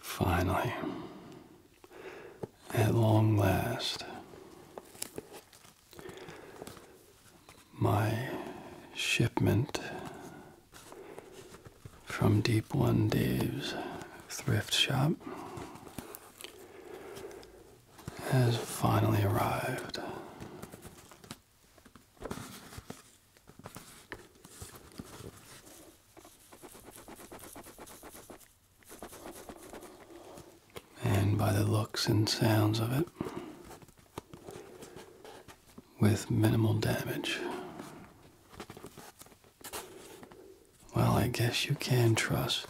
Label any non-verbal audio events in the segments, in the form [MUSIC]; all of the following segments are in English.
Finally, at long last, my shipment from Deep One Dave's thrift shop has finally arrived. And by the looks and sounds of it, with minimal damage. Well, I guess you can trust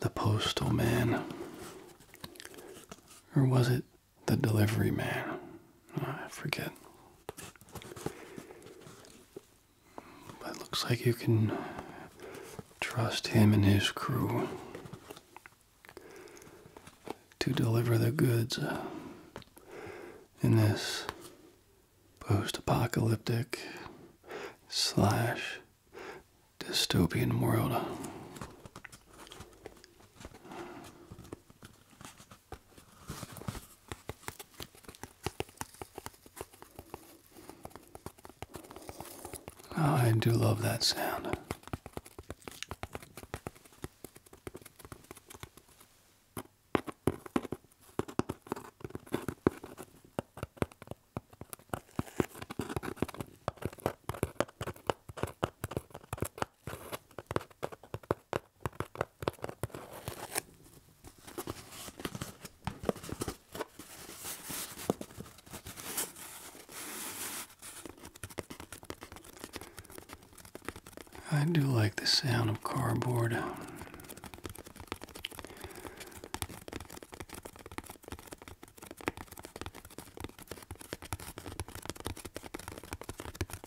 the postal man. Or was it the delivery man? Ah, I forget. But it looks like you can trust him and his crew to deliver the goods uh, in this post-apocalyptic slash dystopian world. Oh, I do love that sound. I do like the sound of cardboard.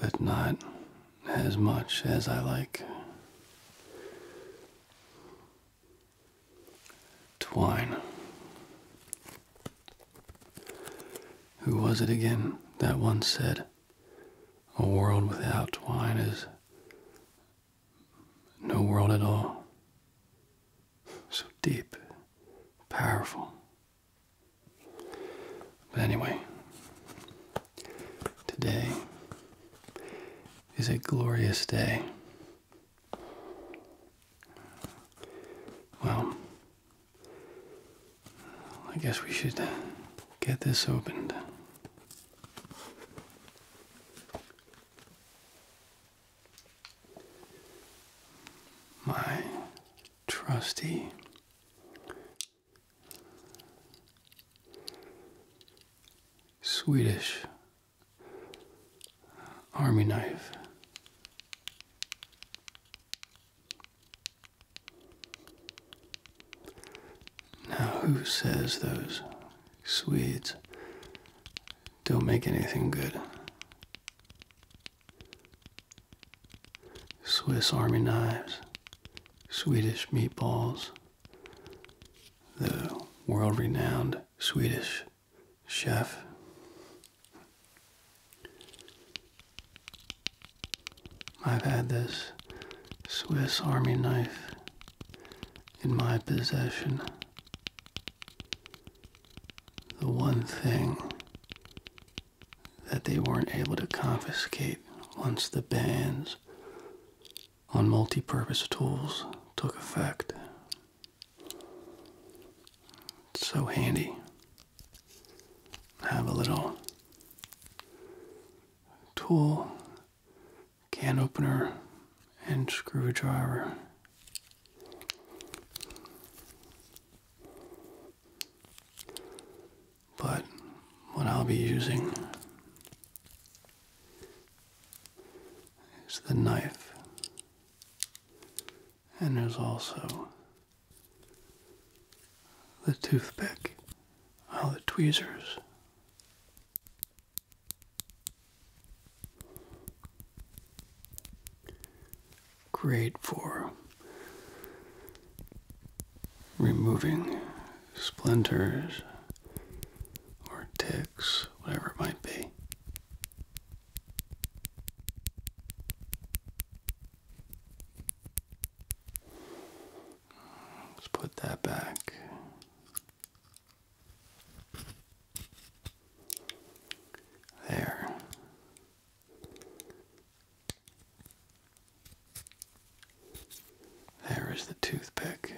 But not as much as I like twine. Who was it again that once said, A world without twine is no world at all? So deep, powerful. But anyway, today is a glorious day. Well, I guess we should get this opened. My trusty Swedish army knife. Now, who says those Swedes don't make anything good? Swiss Army knives, Swedish meatballs, the world renowned Swedish chef. I've had this Swiss Army knife in my possession. The one thing that they weren't able to confiscate once the bans on multi-purpose tools took effect. so handy have a little tool, can opener, and screwdriver. But what I'll be using is the knife, and there's also the toothpick, all the tweezers. Great for removing splinters or ticks, whatever it might be. Let's put that back. There. There is the toothpick.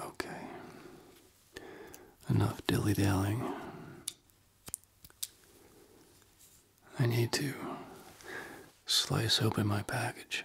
Okay. Enough dilly dallying. I need to slice open my package.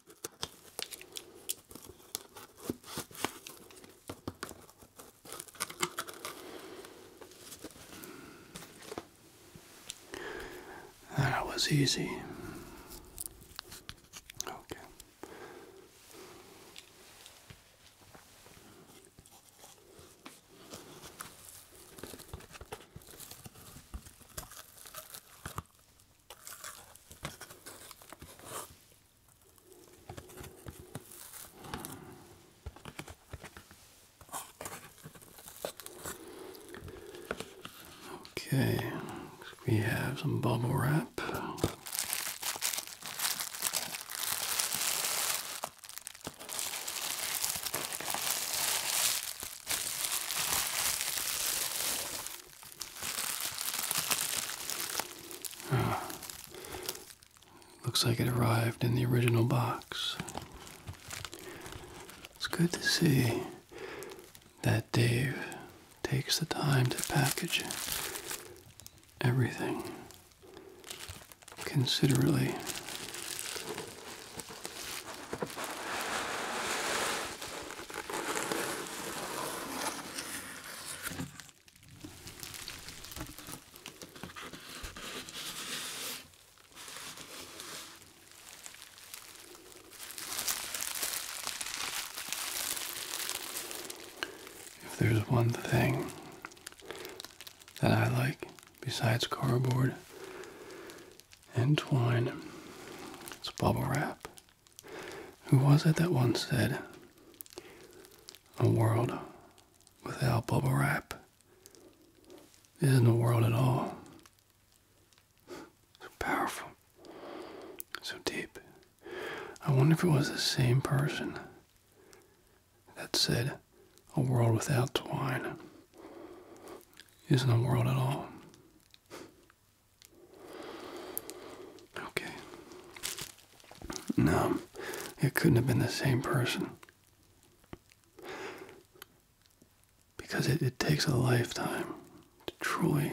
That was easy. Okay. Okay, we have some bubble wrap. Looks like it arrived in the original box. It's good to see that Dave takes the time to package everything considerately. If there's one thing that I like besides cardboard and twine, it's bubble wrap. Who was it that once said, A world without bubble wrap isn't a world at all? [LAUGHS] So powerful, so deep. I wonder if it was the same person that said, A world without twine isn't a world at all. Okay. No, it couldn't have been the same person. Because it, it takes a lifetime to truly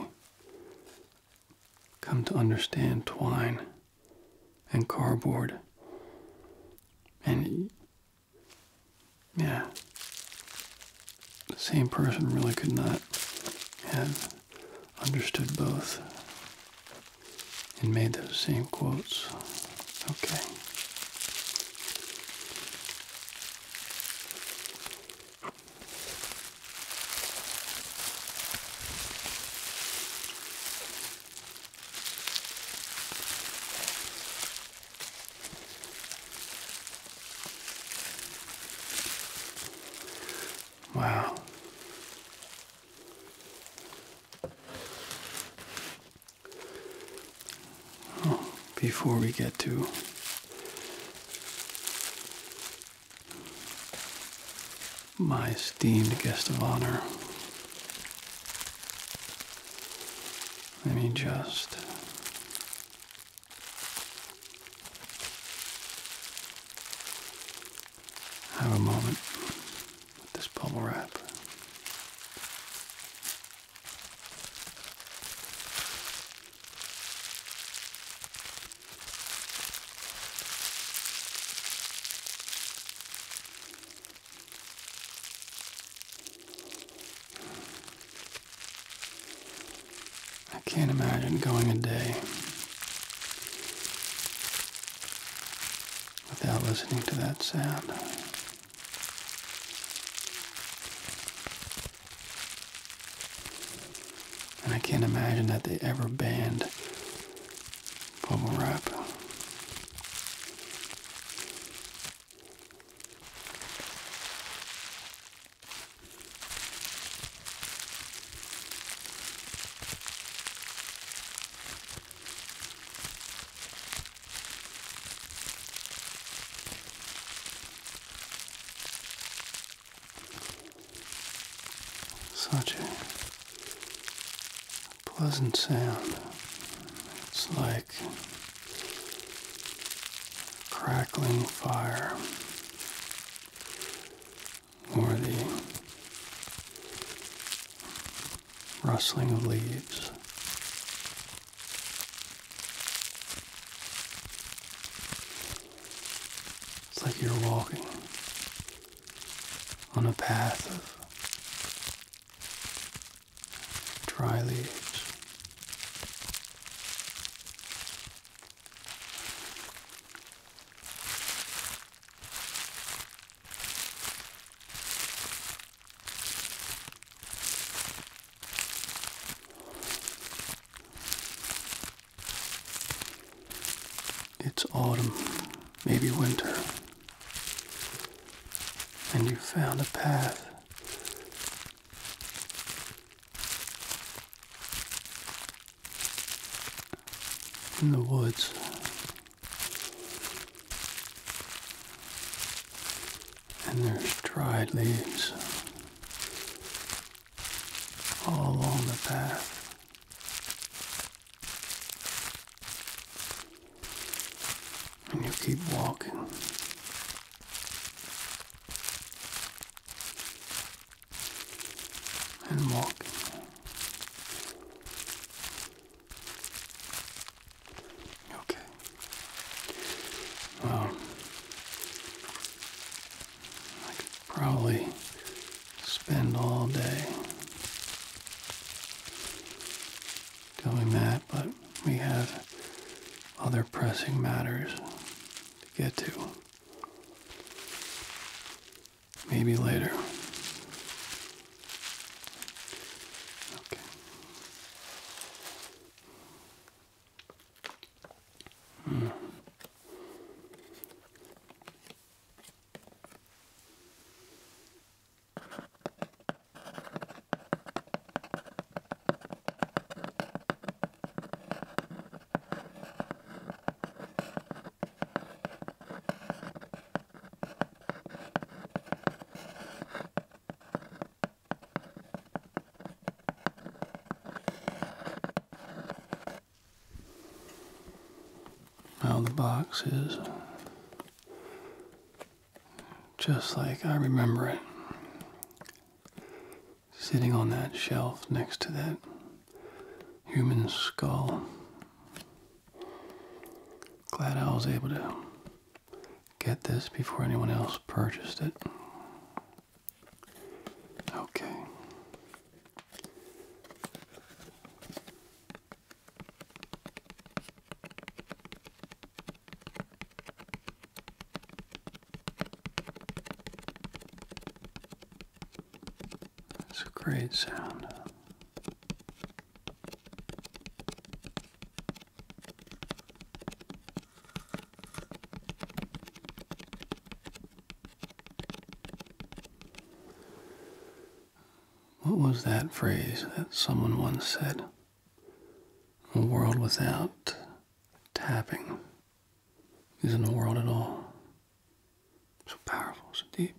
come to understand twine and cardboard. And yeah, the same person really could not have understood both and made those same quotes. Okay. Wow. Oh, before we get to my esteemed guest of honor, let me just have a moment with this bubble wrap. I can't imagine going a day without listening to that sound. And I can't imagine that they ever banned bubble wrap. Such a pleasant sound. It's like crackling fire or the rustling of leaves. It's like you're walking on a path of dry leaves. It's autumn, maybe winter, and you found a path in the woods. And there's dried leaves all along the path. And you keep walking and walk. Okay. Well, I could probably spend all day doing that, but we have other pressing matters to get to. Maybe later. Okay. Mm. Now the box is just like I remember it sitting on that shelf next to that human skull. Glad I was able to get this before anyone else purchased it. Okay. It's a great sound. What was that phrase that someone once said? A world without tapping is in the world at all. So powerful, so deep.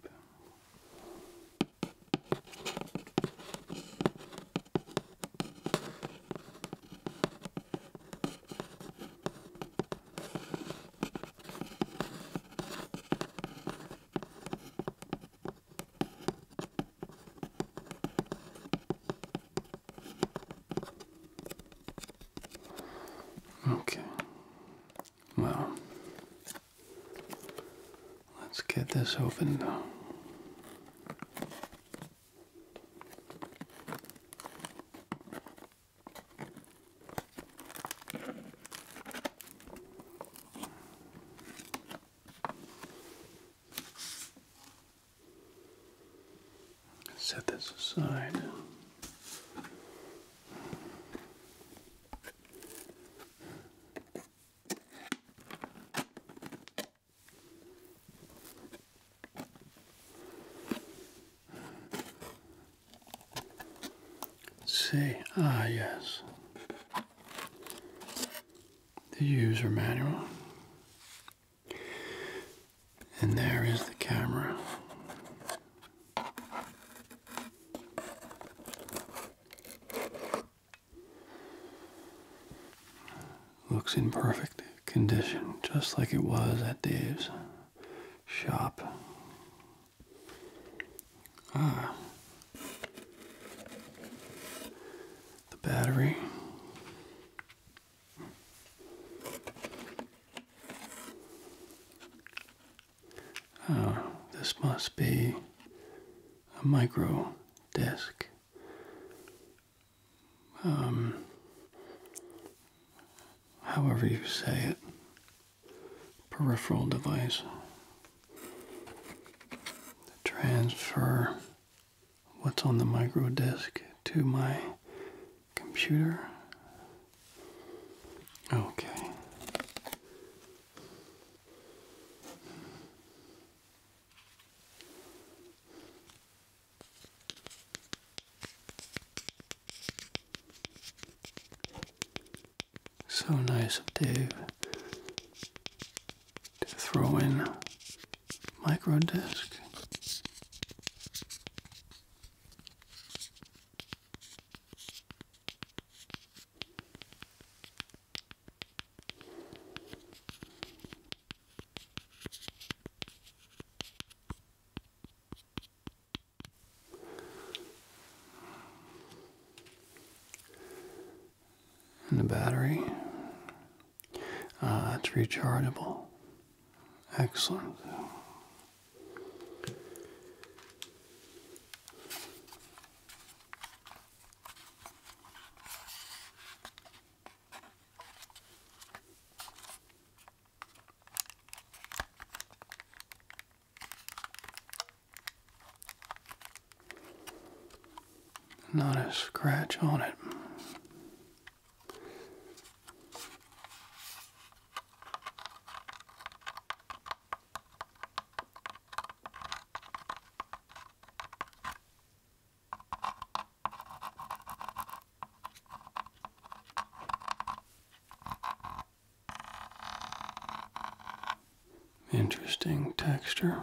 Okay. Well, let's get this opened. Set this aside. see. Ah, yes. The user manual. And there is the camera. Looks in perfect condition, just like it was at Dave's shop. Ah. The battery Oh, this must be a micro disc. Um, however you say it, peripheral device. The transfer what's on the micro disk to my computer. Okay. So nice of Dave to throw in micro disc and the battery. Ah, uh, rechargeable. Excellent. Not a scratch on it. Interesting texture.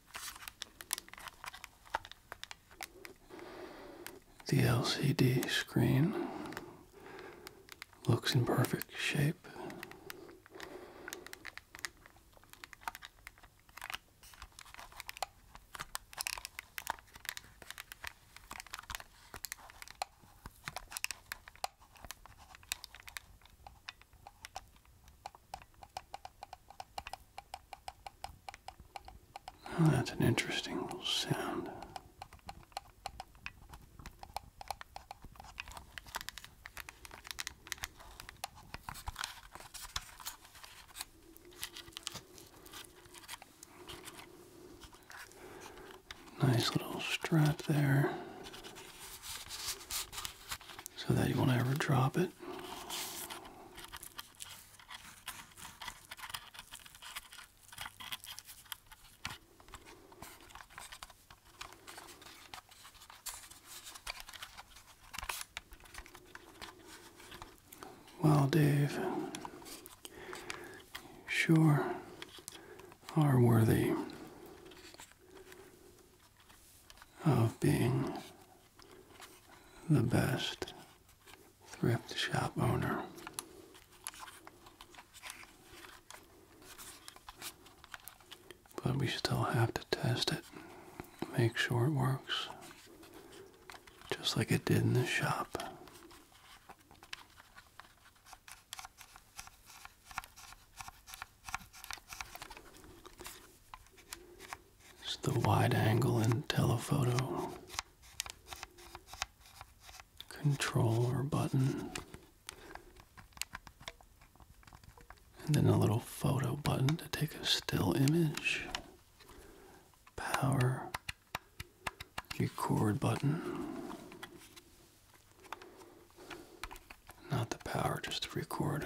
The LCD screen looks in perfect shape. Oh, that's an interesting little sound. Nice little strap there so that you won't ever drop it. Well, Dave, sure are worthy of being the best thrift shop owner. But we still have to test it, make sure it works, just like it did in the shop. It's the wide angle and telephoto control or button. And then a little photo button to take a still image. Power record button. Not the power, just to record.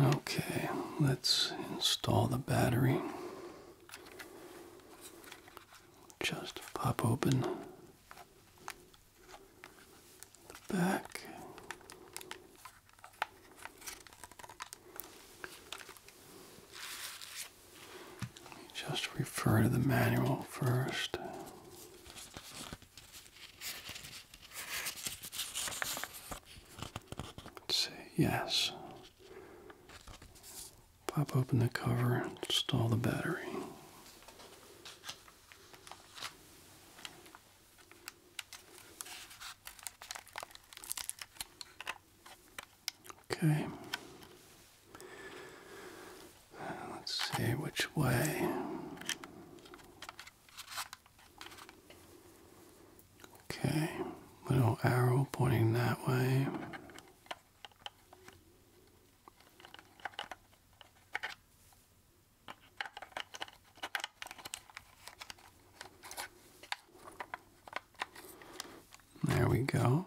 Okay, let's install the battery. Just pop open the back. Just refer to the manual first. Let's see, yes. Pop open the cover, install the battery. Okay. Let's see which way. Okay, little arrow pointing that way. There we go.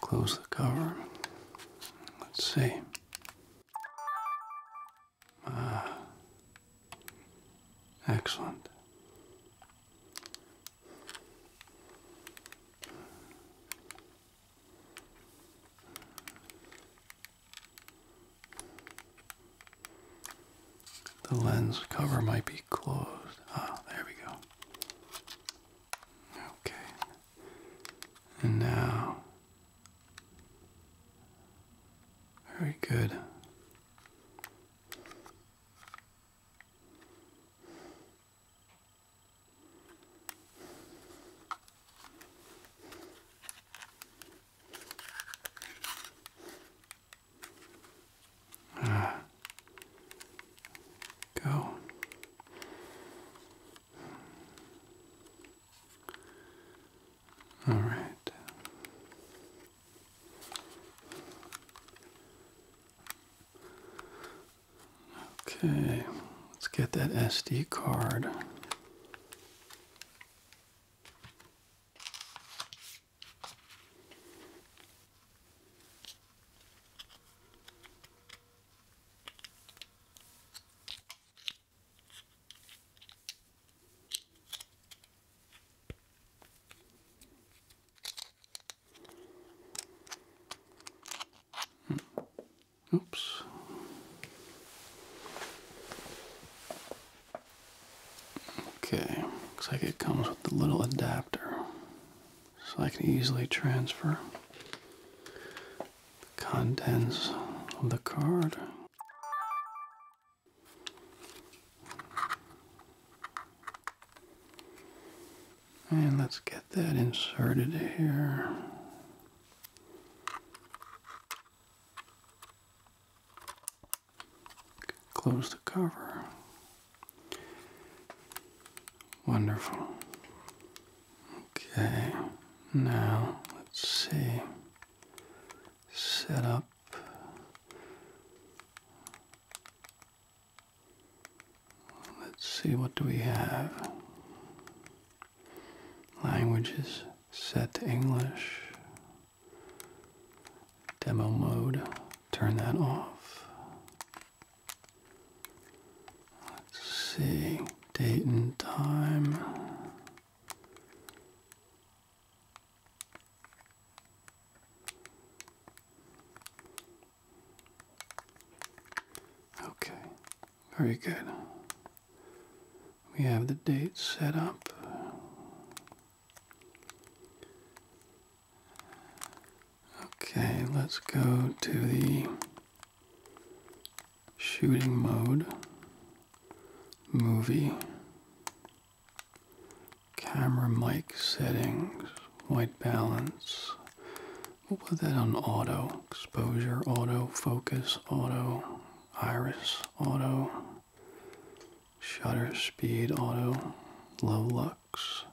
Close the cover. Let's see. Ah. Excellent. The lens cover might be closed. Ah, there we go. Okay. And now very good. Ah. Go. All right. Okay, let's get that SD card. Oops. Okay, looks like it comes with a little adapter, so I can easily transfer the contents of the card and let's get that inserted here. Close the cover. Wonderful. Okay, now let's see. Set up Let's see, what do we have? Languages set to English. Demo mode, turn that off. Let's see, date and time. Okay, very good. We have the date set up. Okay, let's go to the shooting mode movie Camera mic settings, white balance. we put that on auto. Exposure, auto, focus, auto, iris, auto, shutter speed, auto, low lux.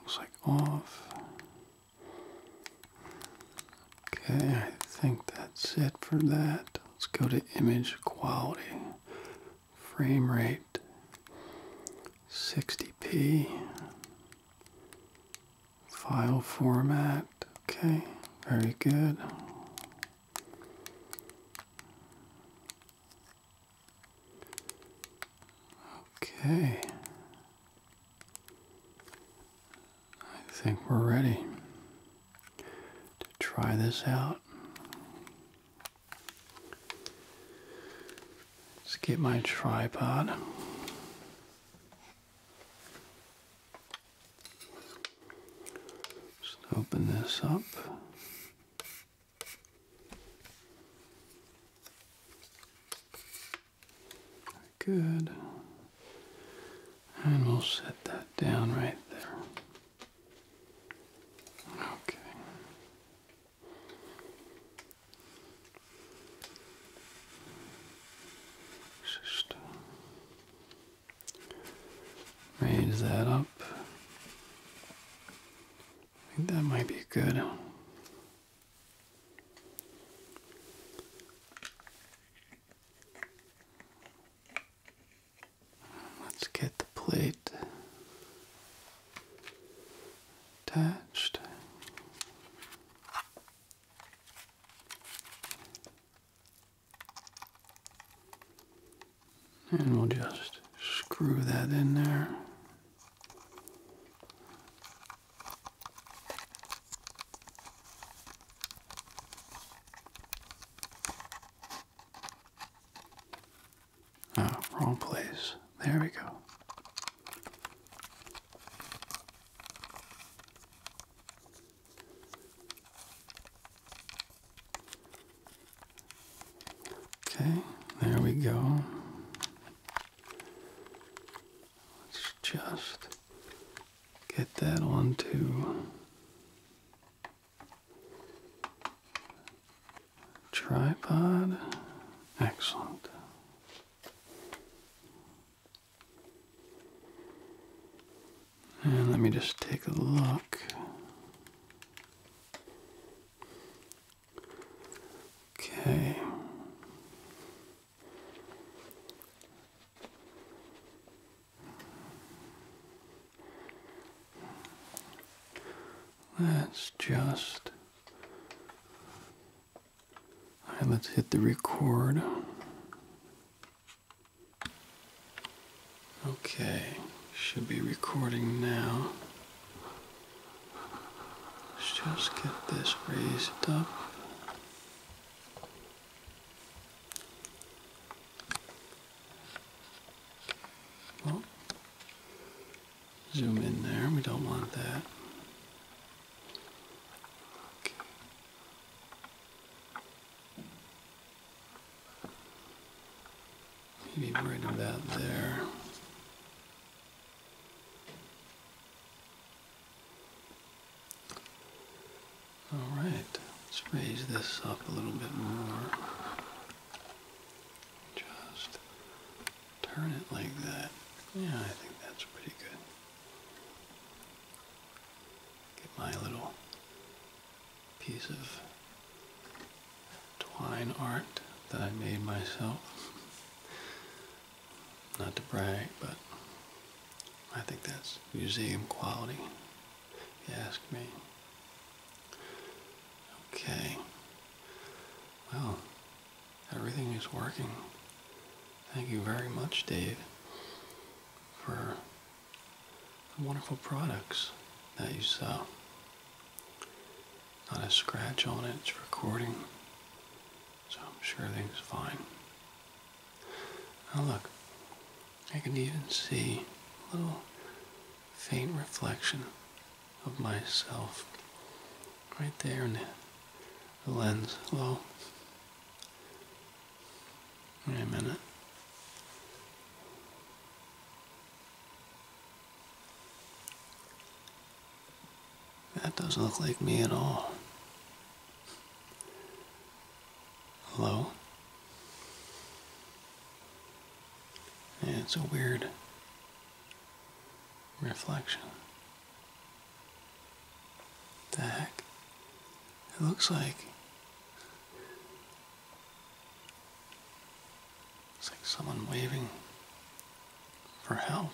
Looks like off. Okay, I think that's it for that. Let's go to image quality. Frame rate 60p. File format. Okay, very good. Okay. I think we're ready to try this out. Let's get my tripod. Just open this up. Good. And we'll set that down right there. Okay. Just uh, raise that up. I think that might be good. Let's get the plate attached. And we'll just screw that in there. Oh, wrong place. There we go. Okay, there we go. Let's just get that onto Tripod. Excellent. And let me just take a look. Okay. Let's just. right, let's hit the record. Okay, should be recording now. Let's just get this raised up zoom in there. We don't want that. Maybe right about there. All right, let's raise this up a little bit more. Just turn it like that. Yeah, I think that's pretty good. Get my little piece of twine art that I made myself. Not to brag, but I think that's museum quality you ask me. Okay. Well, everything is working. Thank you very much, Dave, for the wonderful products that you sell. Not a scratch on it, it's recording, so I'm sure everything's fine. Now look, I can even see a little faint reflection of myself right there in the lens. Hello? Wait a minute. That doesn't look like me at all. Hello? it's a weird reflection. the heck? It looks like it's like someone waving for help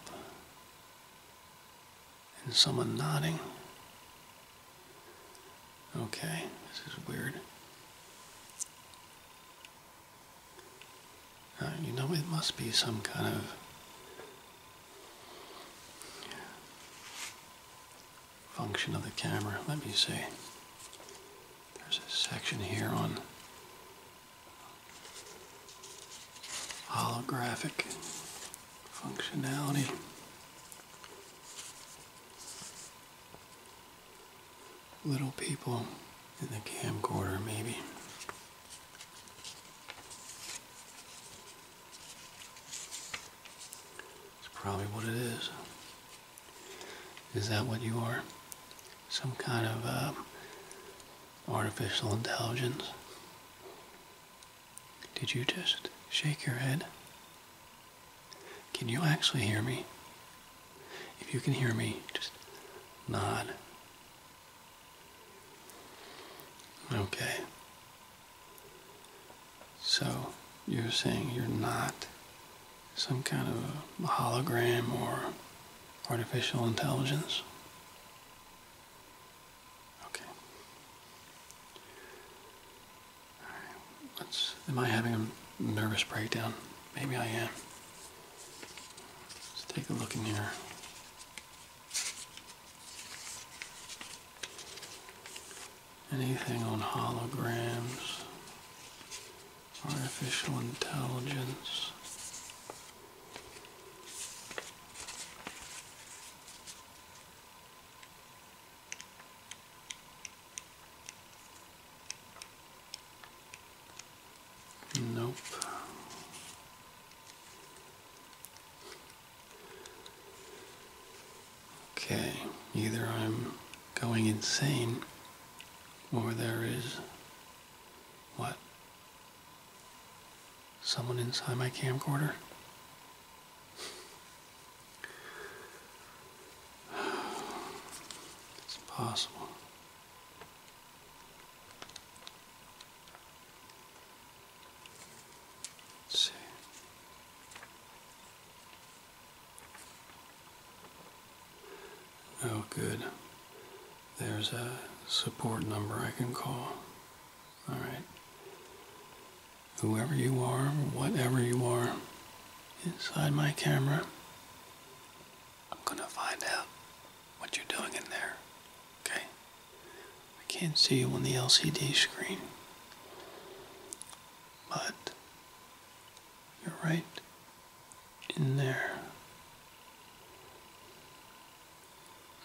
and someone nodding Okay, this is weird. Uh, you know, it must be some kind of. function of the camera. Let me see. There's a section here on holographic functionality little people in the camcorder, maybe. It's probably what it is. Is that what you are? Some kind of uh, artificial intelligence? Did you just shake your head? Can you actually hear me? If you can hear me, just nod. Okay. So you're saying you're not some kind of hologram or artificial intelligence? Okay am I having a nervous breakdown? Maybe I am. Let's take a look in here. Anything on holograms, artificial intelligence. Nope. Okay, either I'm going insane or there is what? Someone inside my camcorder? It's impossible. see. Oh, good. There's a support number I can call. All right whoever you are, whatever you are, inside my camera. I'm going to find out what you're doing in there. Okay? I can't see you on the LCD screen. But you're right in there.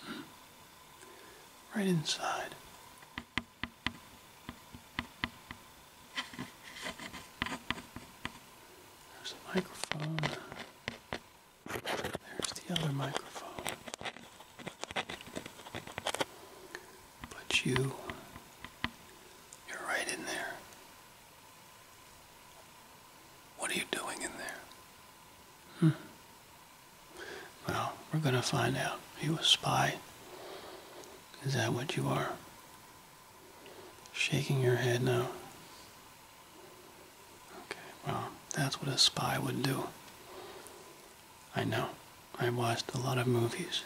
Hmm. Right inside. There's a microphone. There's the other microphone. But you, you're right in there. What are you doing in there? Hmm. Well, we're going to find out. He was a spy? Is that what you are? Shaking your head now. Okay, well, that's what a spy would do. I know. I watched a lot of movies.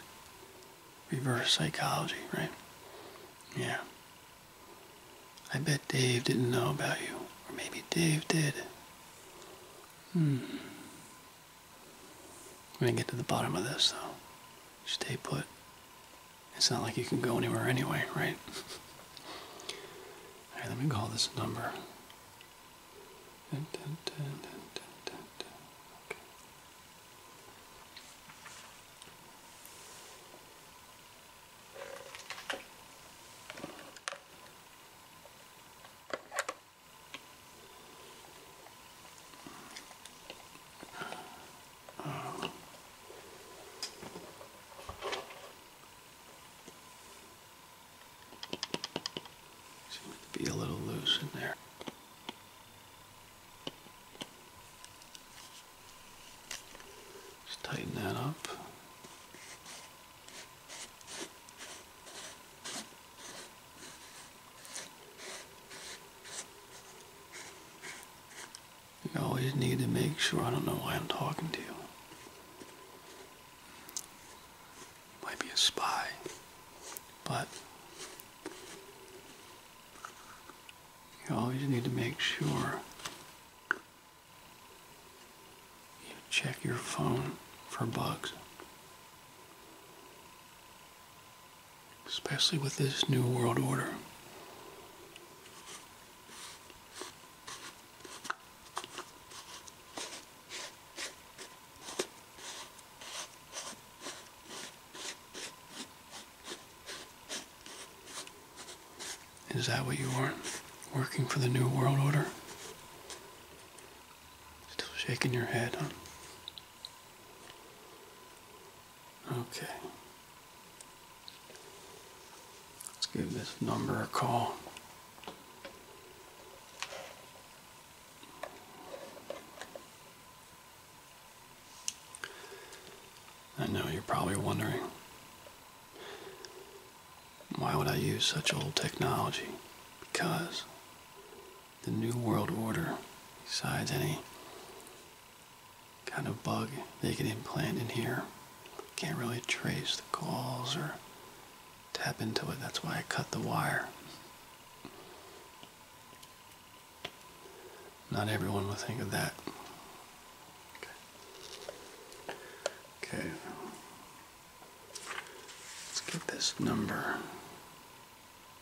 Reverse psychology, right? Yeah. I bet Dave didn't know about you. Or maybe Dave did. Hmm. We're gonna get to the bottom of this, though. Stay put. It's not like you can go anywhere anyway, right? [LAUGHS] All right, let me call this number. okay. Seems to be a little loose in there. Just tighten that up. You always need to make sure I don't know why I'm talking to you. Might be a spy, but you always need to make sure you check your phone for bugs especially with this new world order. Is that what you are? Working for the New World Order? Still shaking your head, huh? Okay. Let's give this number a call. I know you're probably wondering why would I use such old technology? Because the New World Order, besides any kind of bug they can implant in here. Can't really trace the calls or tap into it. That's why I cut the wire. Not everyone will think of that. Okay. okay. Let's get this number.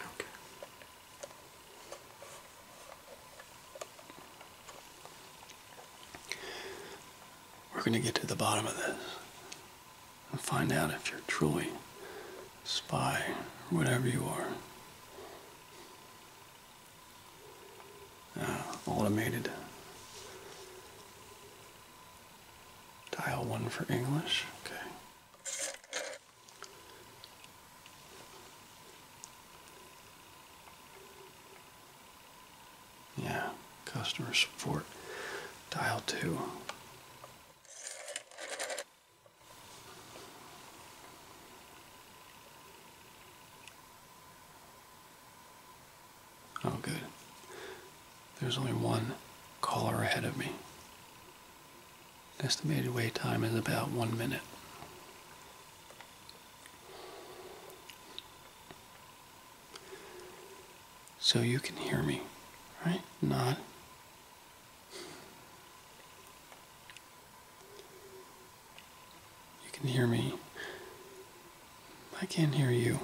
Okay. We're going to get to the bottom of this and find out if you're truly a spy or whatever you are. Uh, automated Dial one for English. Okay. Yeah, customer support. Dial two. Oh, good. There's only one caller ahead of me. Estimated wait time is about one minute. So you can hear me, right? Not. You can hear me. I can't hear you.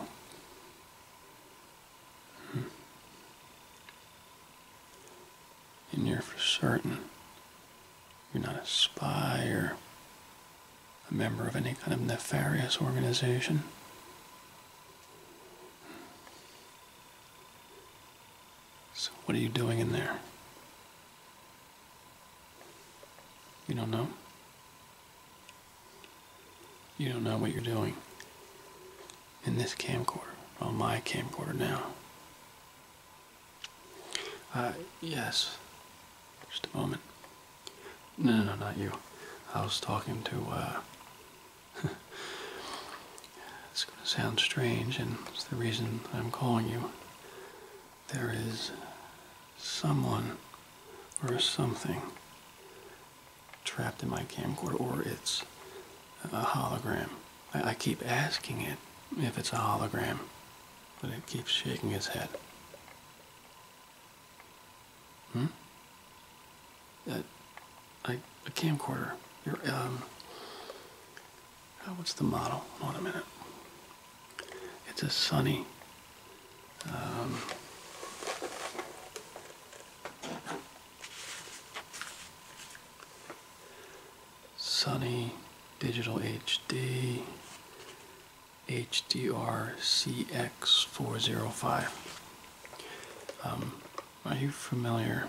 And you're for certain you're not a spy or a member of any kind of nefarious organization. So what are you doing in there? You don't know? You don't know what you're doing. In this camcorder, on my camcorder now. Uh, yes. Just a moment. No, no, no, not you. I was talking to, uh, [LAUGHS] it's gonna sound strange, and it's the reason I'm calling you. There is someone or something trapped in my camcorder or it's a hologram. I, keep asking it if it's a hologram, but it keeps shaking its head. Hmm? A uh, I, a camcorder. Your, um, oh, what's the model? Hold on a minute. It's a Sony um, Sony Digital HD HDR CX405. are you familiar?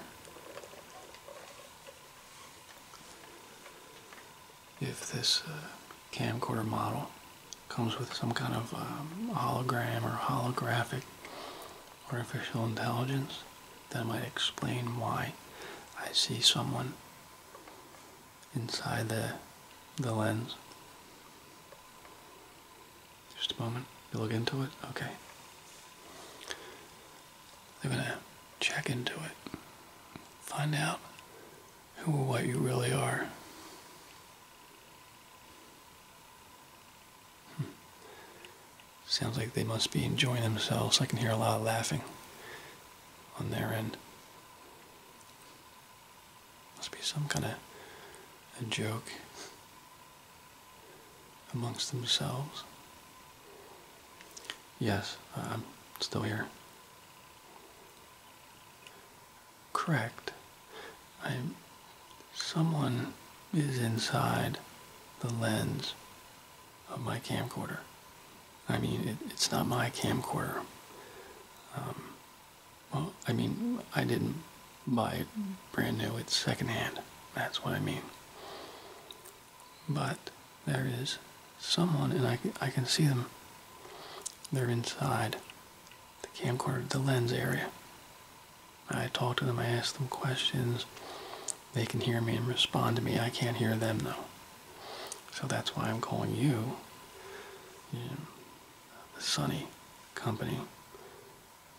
with this uh, camcorder model comes with some kind of um, hologram or holographic artificial intelligence that might explain why I see someone inside the the lens. Just a moment. You look into it? Okay. they're gonna check into it. Find out who or what you really are. Hmm. Sounds like they must be enjoying themselves. I can hear a lot of laughing on their end. Must be some kind of a joke amongst themselves. Yes, I'm still here correct. I, someone is inside the lens of my camcorder. I mean, it's not my camcorder. Um, well, I mean, I didn't buy it brand new. It's secondhand. That's what I mean. But there is someone, and I, I can see them. They're inside the camcorder to the lens area. I talk to them, I ask them questions. They can hear me and respond to me. I can't hear them though. So that's why I'm calling you, you know, the Sunny Company,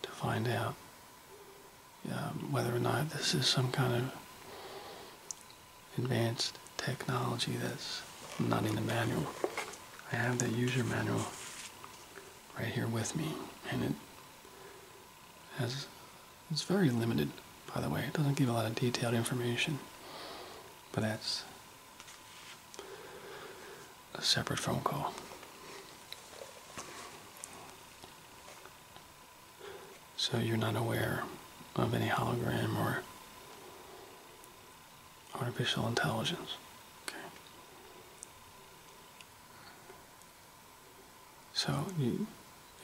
to find out um, whether or not this is some kind of advanced technology that's not in the manual. I have the user manual right here with me, and it has it's very limited, by the way. It doesn't give a lot of detailed information, but that's a separate phone call. So you're not aware of any hologram or artificial intelligence. Okay. So you, you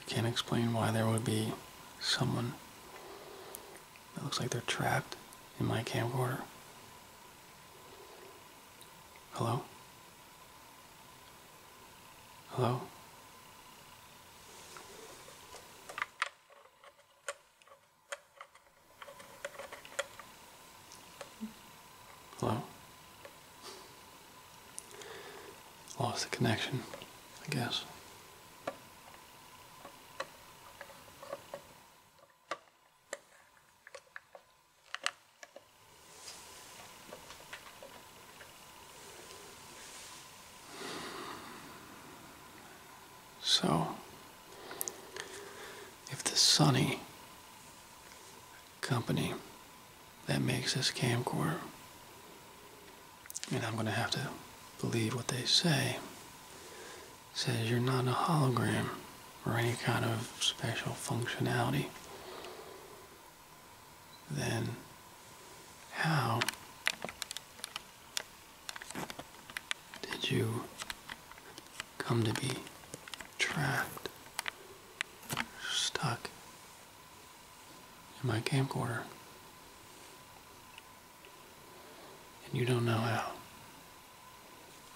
can't explain why there would be someone that looks like they're trapped in my camcorder. Hello? Hello? Hello? Lost the connection, I guess. So, if the Sunny company that makes this camcorder, and I'm going to have to believe what they say, says you're not a hologram or any kind of special functionality, then how did you come to be trapped, stuck in my camcorder? And you don't know how.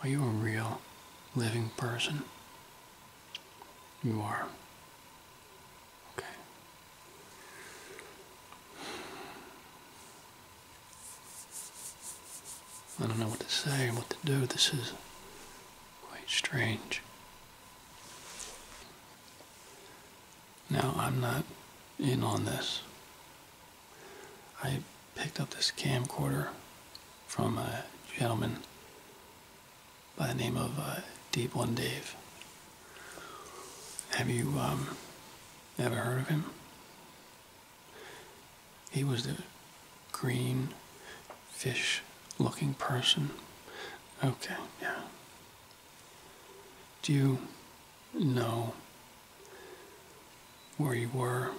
Are you a real living person? You are. Okay. I don't know what to say, or what to do. This is quite strange. Now, I'm not in on this. I picked up this camcorder from a gentleman by the name of uh, Deep One Dave. Have you um, ever heard of him? He was the green fish looking person. Okay, yeah. Do you know where you were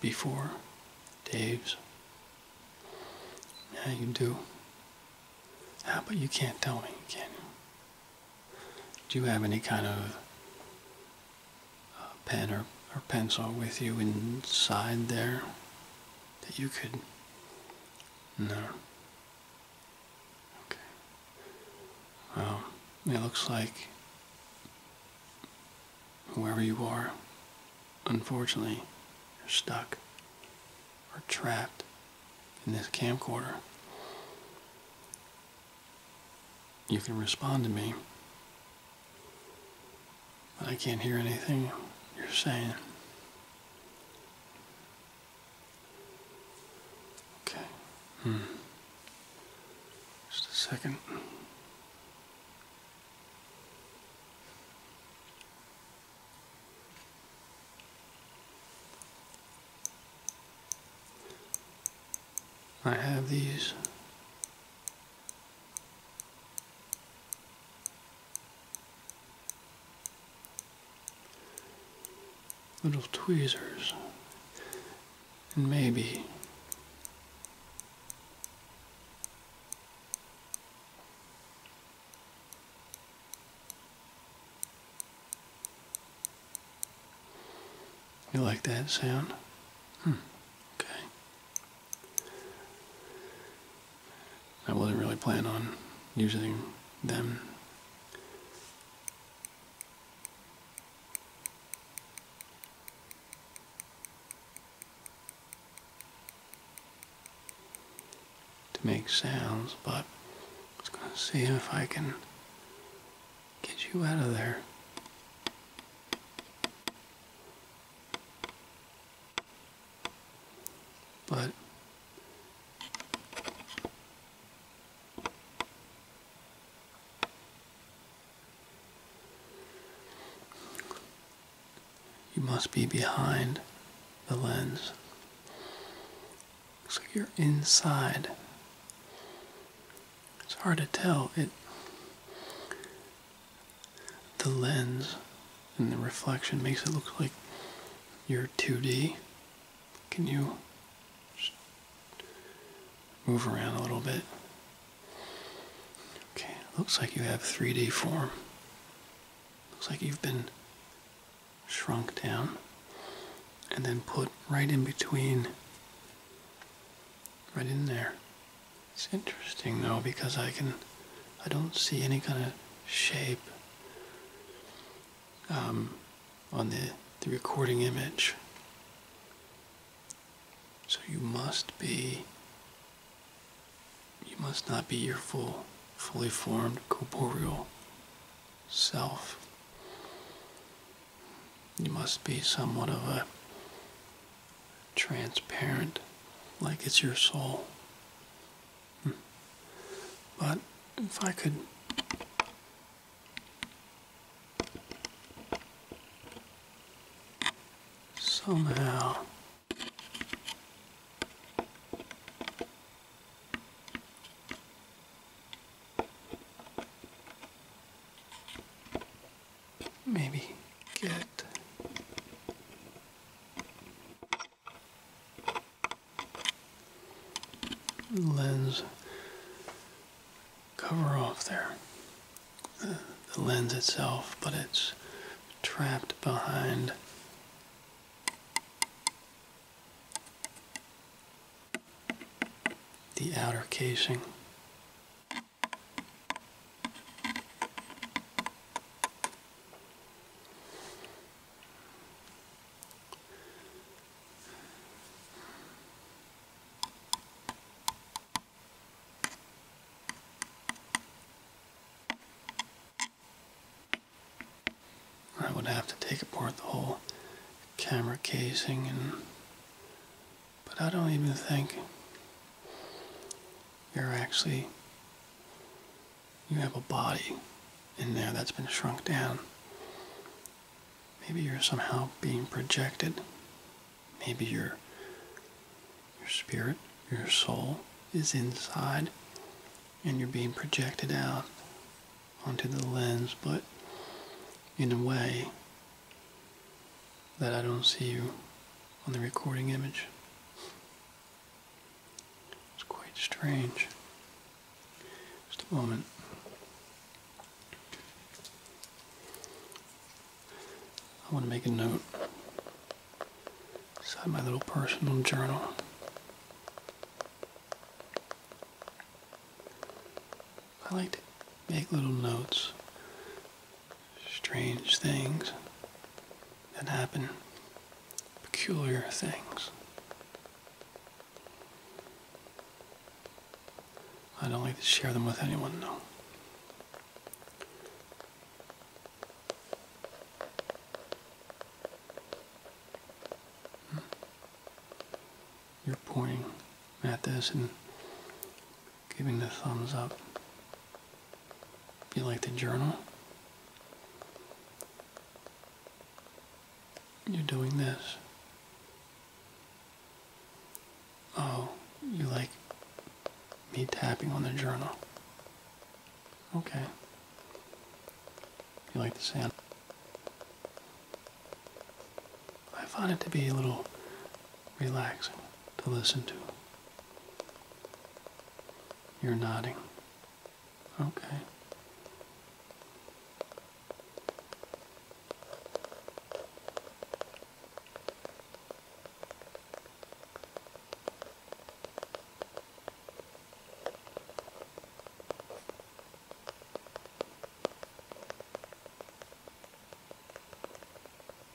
before Dave's? Yeah, you do. Ah, but you can't tell me, can you? Do you have any kind of uh, pen or, or pencil with you inside there that you could. No. Okay. Well, it looks like whoever you are, unfortunately, you're stuck or trapped in this camcorder. You can respond to me I can't hear anything you're saying. Okay. Hmm. Just a second. I have these. Little tweezers. And maybe you like that sound? Hmm, okay. I wasn't really planning on using them. To make sounds, but I was going to see if I can get you out of there. But you must be behind the lens. so you're inside it's hard to tell. It the lens and the reflection makes it look like you're 2D. Can you move around a little bit? Okay, looks like you have 3D form. Looks like you've been shrunk down and then put right in between, right in there. It's interesting though because I can, I don't see any kind of shape um, on the, the recording image. So you must be, you must not be your full, fully formed corporeal self. You must be somewhat of a transparent, like it's your soul. Hmm. But if I could somehow maybe get lens cover off there. Uh, the lens itself, but it's trapped behind the outer casing. I would have to take apart the whole camera casing and but I don't even think you're actually, you have a body in there that's been shrunk down. Maybe you're somehow being projected. Maybe your, your spirit, your soul is inside and you're being projected out onto the lens, but in a way, that I don't see you on the recording image. It's quite strange. Just a moment. I want to make a note inside my little personal journal. I like to make little notes strange things that happen, peculiar things. I don't like to share them with anyone, though. Hmm? You're pointing at this, and giving the thumbs up. You like the journal? You're doing this. Oh, you like me tapping on the journal. Okay. You like the sound? I find it to be a little relaxing to listen to. You're nodding. Okay.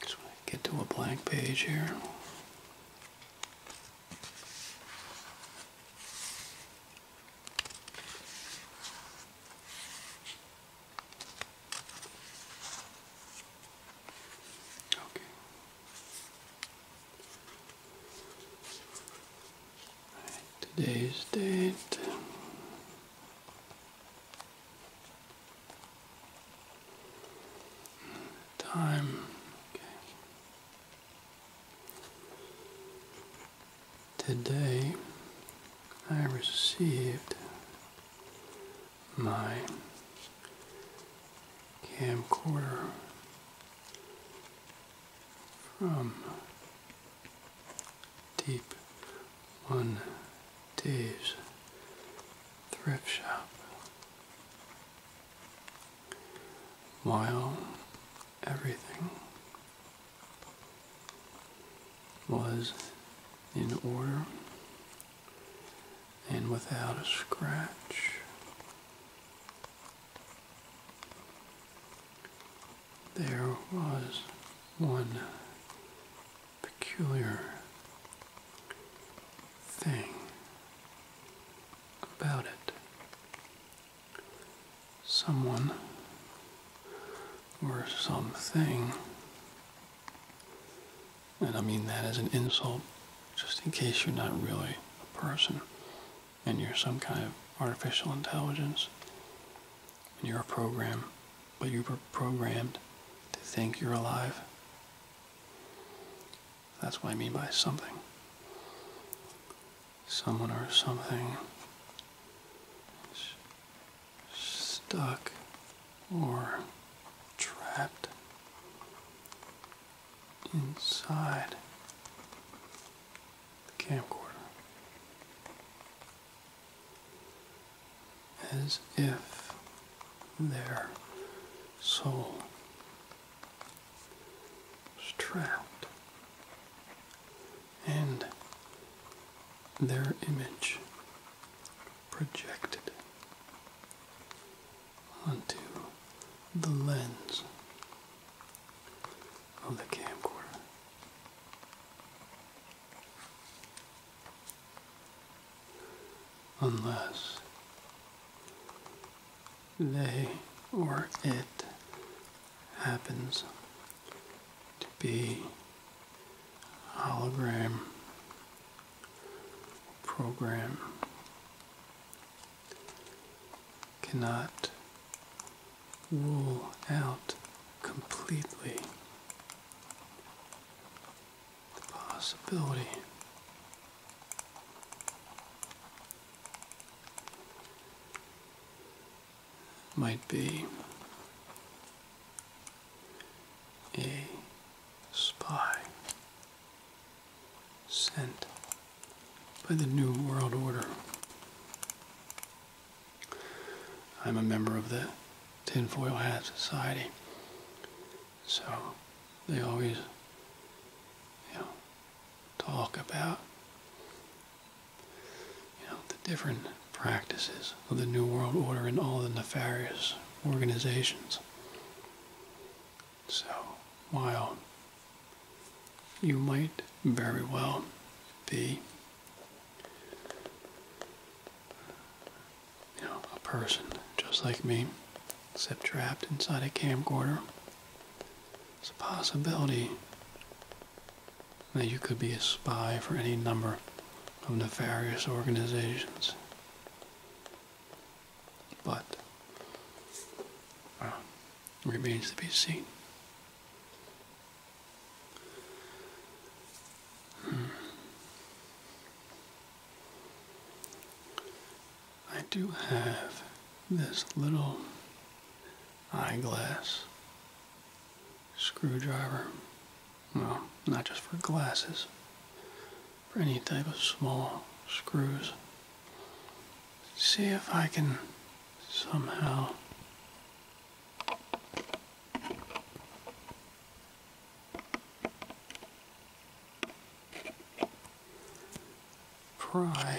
Just get to a blank page here. Okay. Right, today's date. Time. Today I received my camcorder from Deep One Days Thrift Shop. While everything was in order and without a scratch, there was one peculiar thing about it. Someone or something, and I mean that as an insult, just in case you're not really a person, and you're some kind of artificial intelligence and you're a program, but you are programmed to think you're alive. That's what I mean by something. Someone or something stuck or trapped inside the camcorder as if their soul was trapped and their image projected onto the lens of the camcorder. Unless they or it happens to be hologram program cannot rule out completely the possibility might be a spy sent by the New World Order. I'm a member of the Tinfoil Hat Society, so they always you know, talk about you know, the different practices of the New World Order and all the nefarious organizations. So my own you might very well be you know, a person just like me, except trapped inside a camcorder. It's a possibility that you could be a spy for any number of nefarious organizations. But uh, remains to be seen. I do have this little eyeglass screwdriver. Well, not just for glasses, for any type of small screws see if I can somehow. Pry.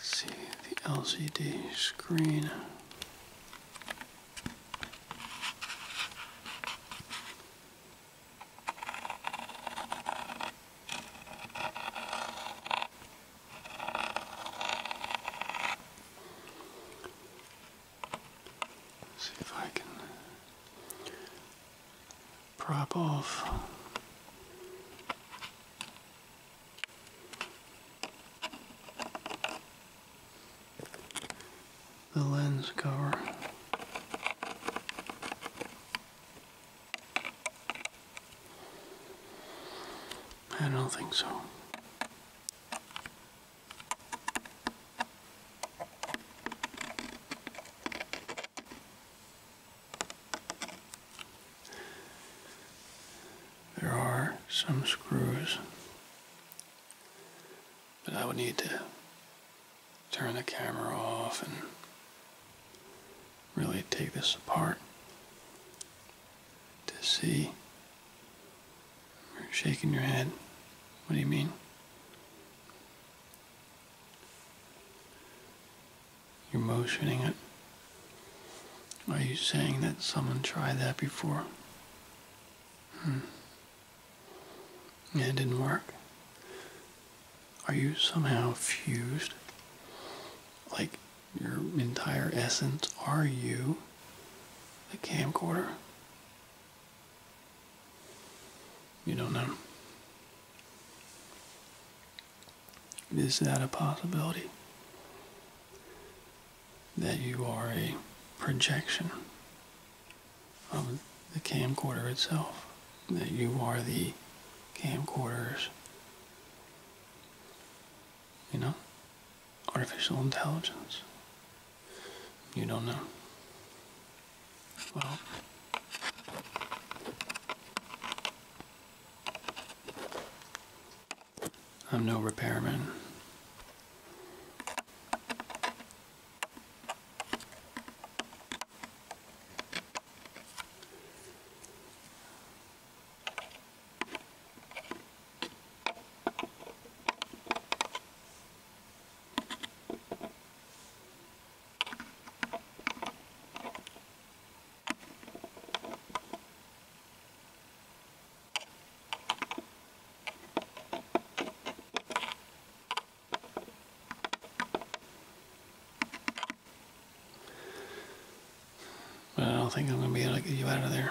See the LCD screen. See if I can uh, prop off. The lens cover. I don't think so. There are some screws, but I would need to turn the camera off and really take this apart to see you're shaking your head. What do you mean? You're motioning it. Are you saying that someone tried that before? Hmm. it didn't work. Are you somehow fused? Like your entire essence? Are you the camcorder? You don't know. Is that a possibility? That you are a projection of the camcorder itself? That you are the camcorders? You know? artificial intelligence. You don't know. Well, I'm no repairman. I don't think I'm going to be able to get you out of there.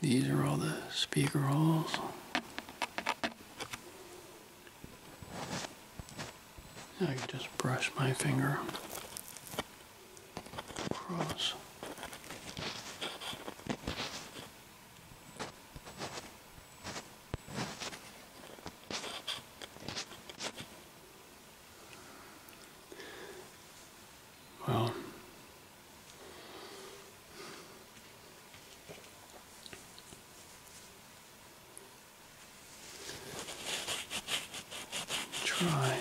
These are all the speaker holes. I can just brush my finger across. Well, try.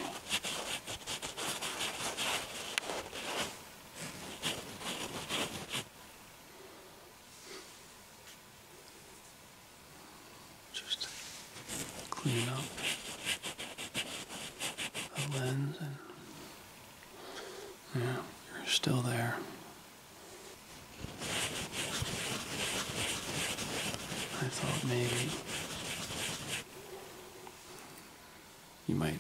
Just clean up the lens and yeah, you're still there. I thought maybe you might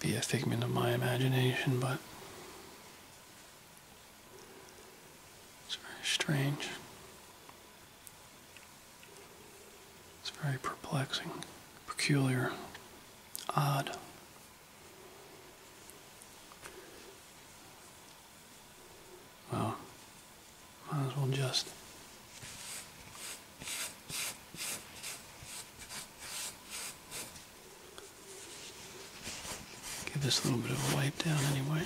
be a figment of my imagination, but it's very strange. It's very perplexing, peculiar, odd. Well, might as well just. Give this a little bit of a wipe down anyway.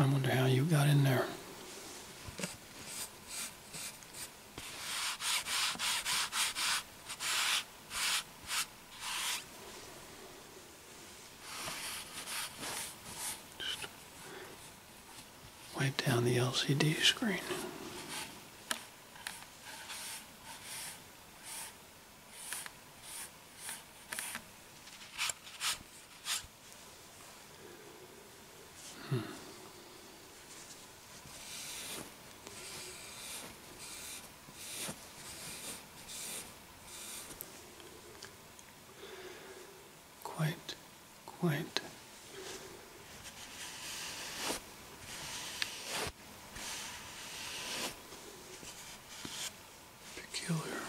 I wonder how you got in there. Just wipe down the LCD screen. Hmm. Quite, quite. Peculiar.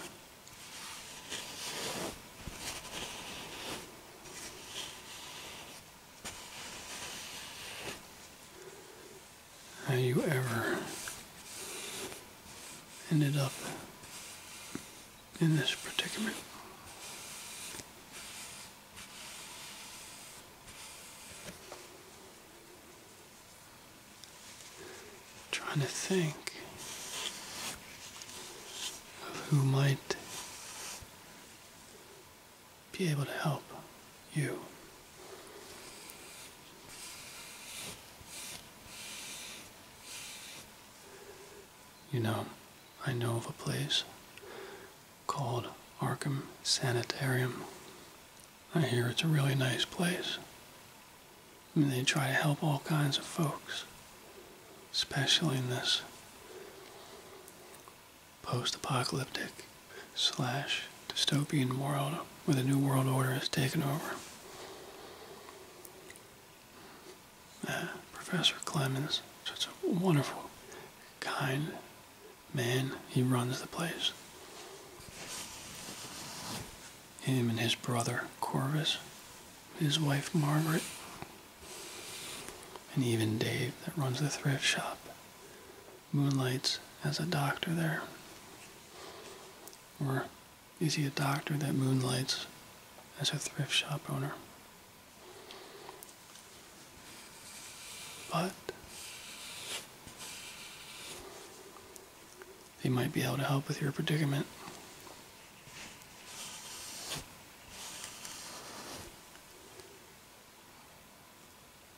How you ever ended up in this predicament trying to think of who might be able to help you. You know, I know of a place called Arkham Sanitarium. I hear it's a really nice place. And they try to help all kinds of folks, especially in this post-apocalyptic slash dystopian world where the New World Order has taken over. Uh, Professor Clemens, such a wonderful, kind man, he runs the place him and his brother Corvus, his wife Margaret, and even Dave that runs the thrift shop moonlights as a doctor there. Or is he a doctor that moonlights as a thrift shop owner? But they might be able to help with your predicament.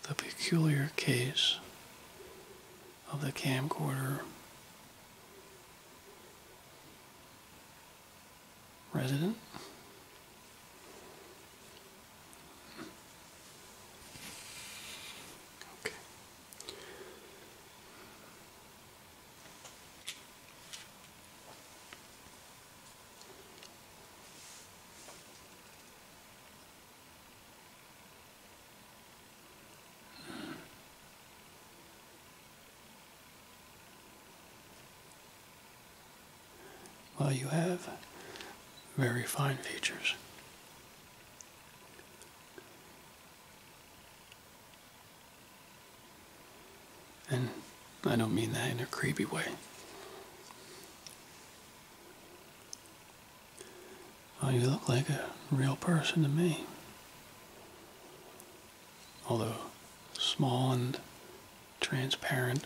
The peculiar case of the camcorder resident. Okay. Well, you have very fine features. And I don't mean that in a creepy way. Oh, you look like a real person to me. Although small and transparent.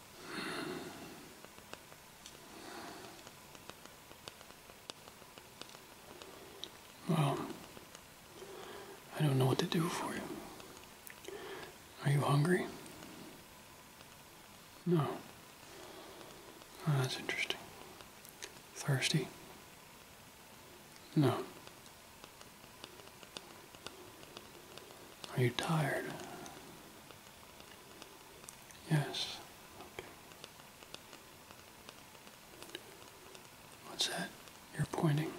Well, I don't know what to do for you. Are you hungry? No. Oh, that's interesting. Thirsty? No. Are you tired? Yes. Okay. What's that? You're pointing.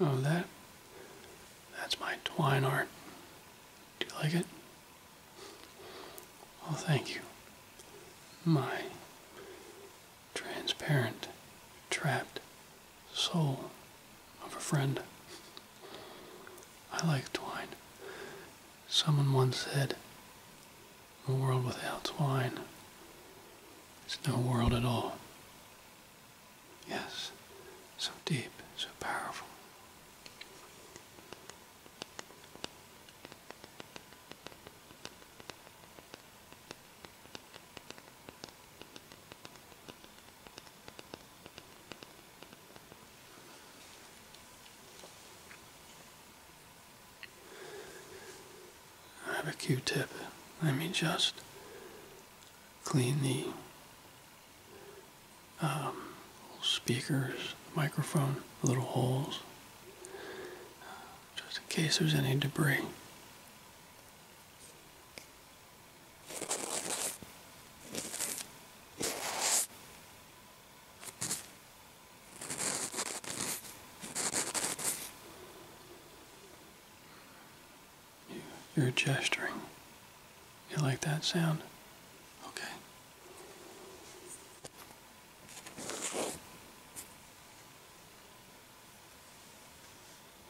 Oh, that? That's my twine art. Do you like it? Oh, thank you. My transparent, trapped soul of a friend. I like twine. Someone once said, a world without twine is no world at all. Yes, so deep, so powerful. I have a Q-tip. Let me just clean the um, speakers, microphone, little holes, just in case there's any debris. You're gesturing. You like that sound? Okay.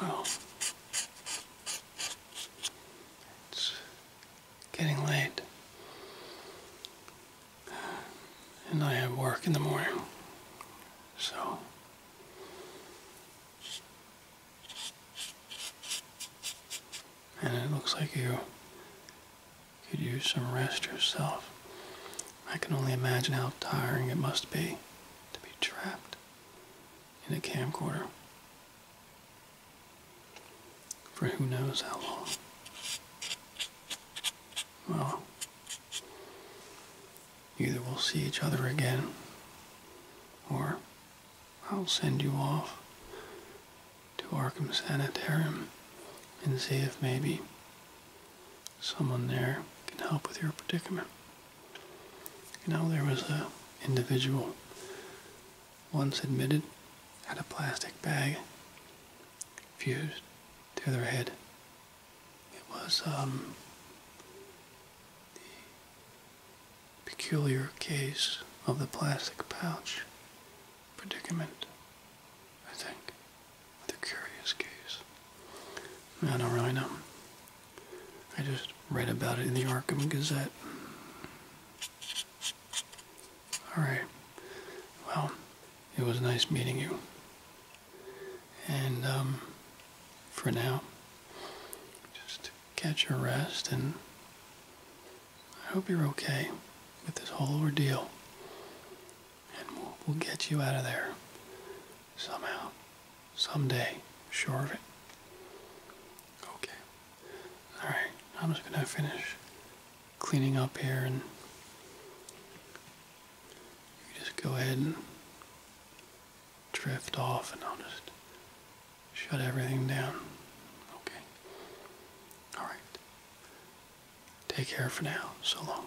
Well, it's getting late and I have work in the morning. So. And it looks like you could use some rest yourself. I can only imagine how tiring it must be to be trapped in a camcorder for who knows how long. Well, either we'll see each other again, or I'll send you off to Arkham Sanitarium and see if maybe someone there can help with your predicament. You know, there was a individual once admitted had a plastic bag fused to their head. It was um, the peculiar case of the plastic pouch predicament, I think, the curious case. I don't really know. I just read about it in the Arkham Gazette. All right. Well, it was nice meeting you. And um, for now, just catch your rest, and I hope you're okay with this whole ordeal. And we'll, we'll get you out of there somehow, someday, sure of it. Okay. All right. I'm just gonna finish cleaning up here and just go ahead and drift off and I'll just shut everything down. Okay. Alright. Take care for now. So long.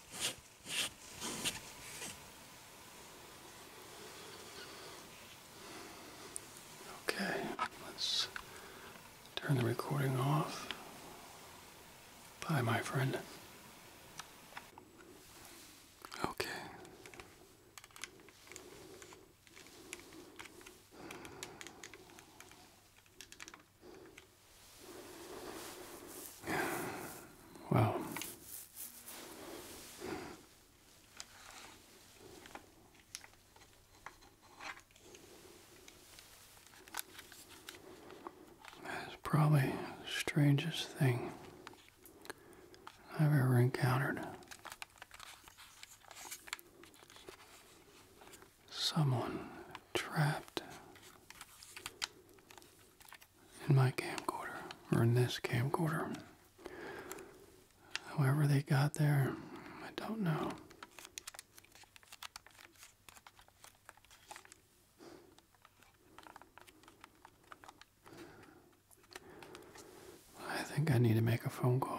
Okay, let's turn the recording off. Bye, my friend. Okay. Well, that's probably the strangest thing I've ever encountered someone trapped in my camcorder, or in this camcorder. However, they got there, I don't know. I think I need to make a phone call.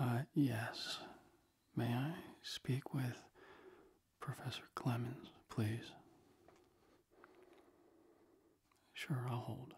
Uh, yes. May I speak with Professor Clemens, please? Sure, I'll hold.